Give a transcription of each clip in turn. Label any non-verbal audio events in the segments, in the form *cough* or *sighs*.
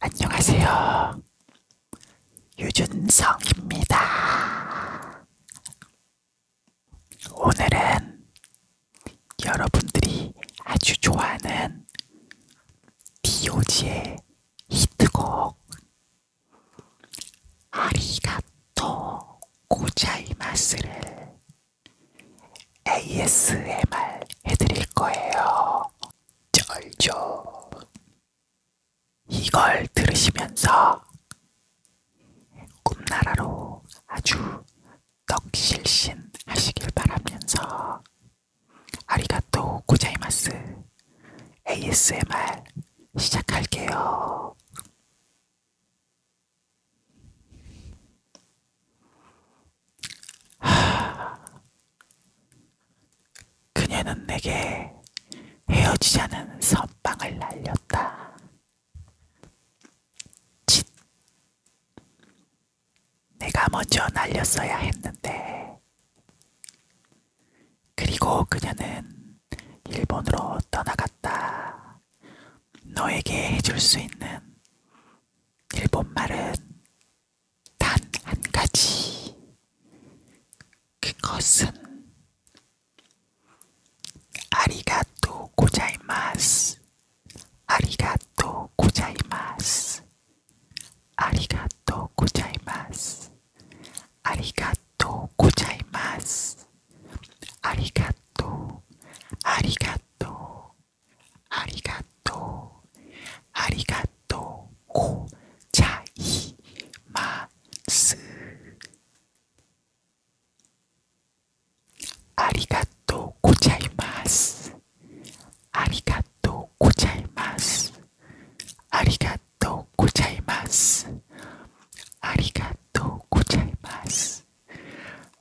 안녕하세요. 유준성입니다. 오늘은 여러분들이 아주 좋아하는 디오지의 히트곡 아리가토 고자이마스를 ASMR 해드릴 거예요. 쩔죠. 이걸 들으시면서 꿈나라로 아주 떡실신 하시길 바라면서 아리가또 고자이마스 ASMR 시작할게요. 하... *sighs* 그녀는 내게 헤어지자는 선빵을 날렸다. 짓! 내가 먼저 날렸어야 했는데. 그리고 그녀는 일본으로 떠나갔다. 너에게 해줄 수 있는 일본말은 단 한 가지. 그것은 아리가또 고자이마스. 아리가또 고자이마스. 아리가또 고자이마스. 아리가또 고자이마스. 아리가또 아리가또 ありがとうありがとうこちゃいますありがとうございますありがとうございますありがとうちゃいますありがとうちゃいます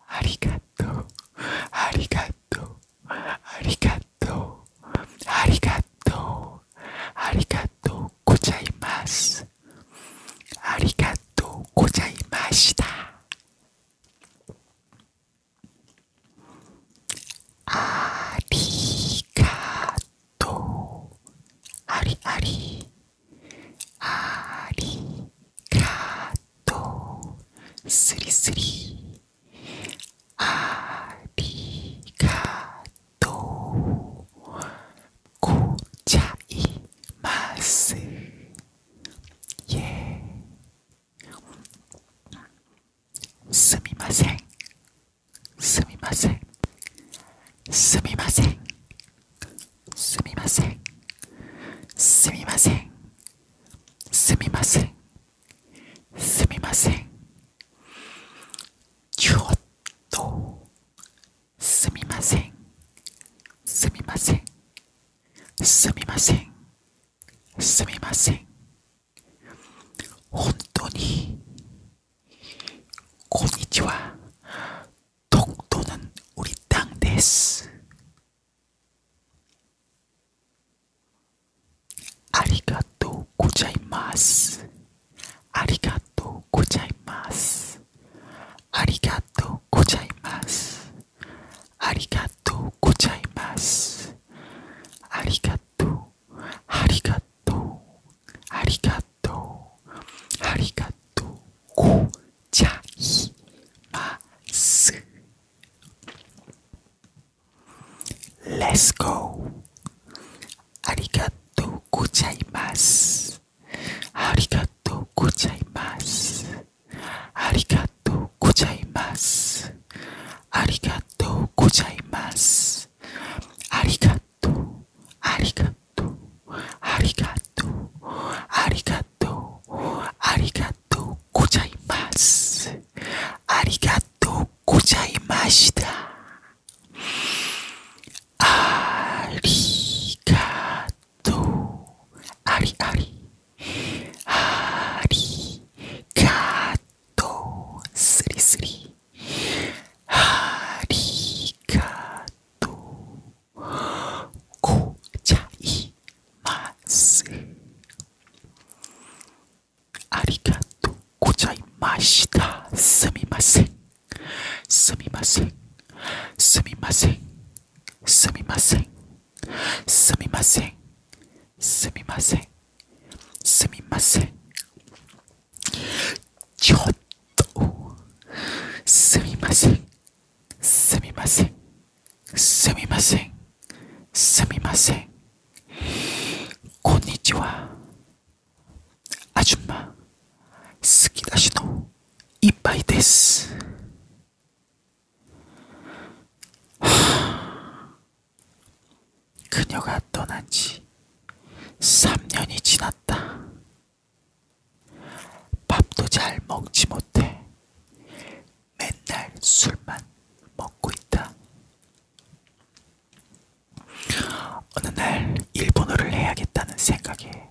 ありがとうありがとうありがとうありがとうありがとうございますありがとうございましたありがとうありありありカートスリスリありがとうごちゃいますイエーすみませんすみませんすみませんすみませんすみませんすみませんすみませんちょっとすみませんすみませんすみませんすみません本当にこんにちは 독도는 우리 땅 데스. 아리가또 고자이마스. 아리가또 고자이마스. 아리가또 고자이마스. 아리가또 고자이마스. 아리가또 아리가또 아리가또 아리가또 고자이마스. ちゃいます。Let's go! ありがとうごゃいます。ありがとうごゃいます。ありがとうごゃいます。ありがとうごゃいます。ありがとう、ありがありがとうありがとうありがとうちゃいますありがとうちゃいましたありがとありありありがとすりすりありがと凍っちゃいますありがとうございましたすみませんすみませんすみませんすみませんすみませんすみませんすみませんちょっと 스미마생 스미마생 스미마생 스미마생 고니치와 아줌마 스키다시노 이빠이 데스 그녀가 떠난 지 3년이 지났다. 밥도 잘 먹지 못해. 맨날 술만 먹고 있다. 어느 날 일본어를 해야겠다는 생각에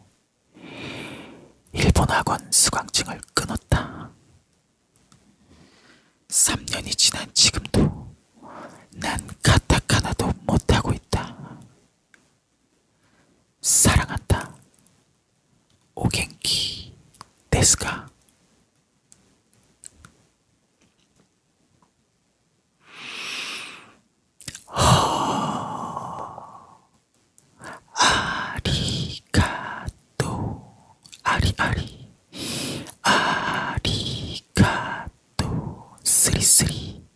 일본 학원 수강증을 끊었다. 3년이 지난 지금도 난 가타카나도 못하고 있다. 사랑한다. 오겐키 데스가 아리가또 아리아리 아리가또 쓰리쓰리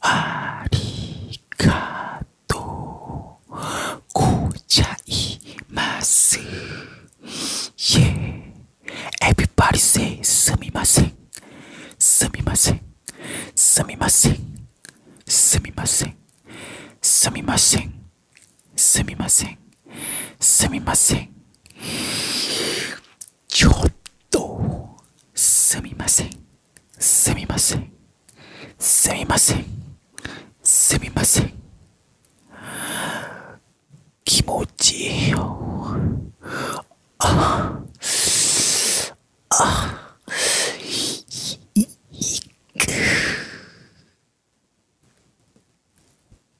ありがとごちゃいます。Yeah! Everybody say すみません。すみません。すみません。すみません。すみません。すみません。すみません。ちょっとすみませんすみませんすみませんすみません気持ちいいよああいいく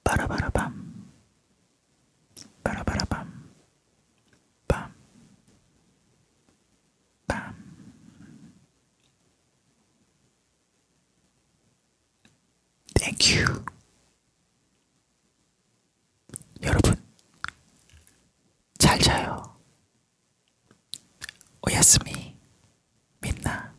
バラバラバン 빠라바라밤 빰, 빰. Thank you. 여러분, 잘 자요. 오야스미, 민나.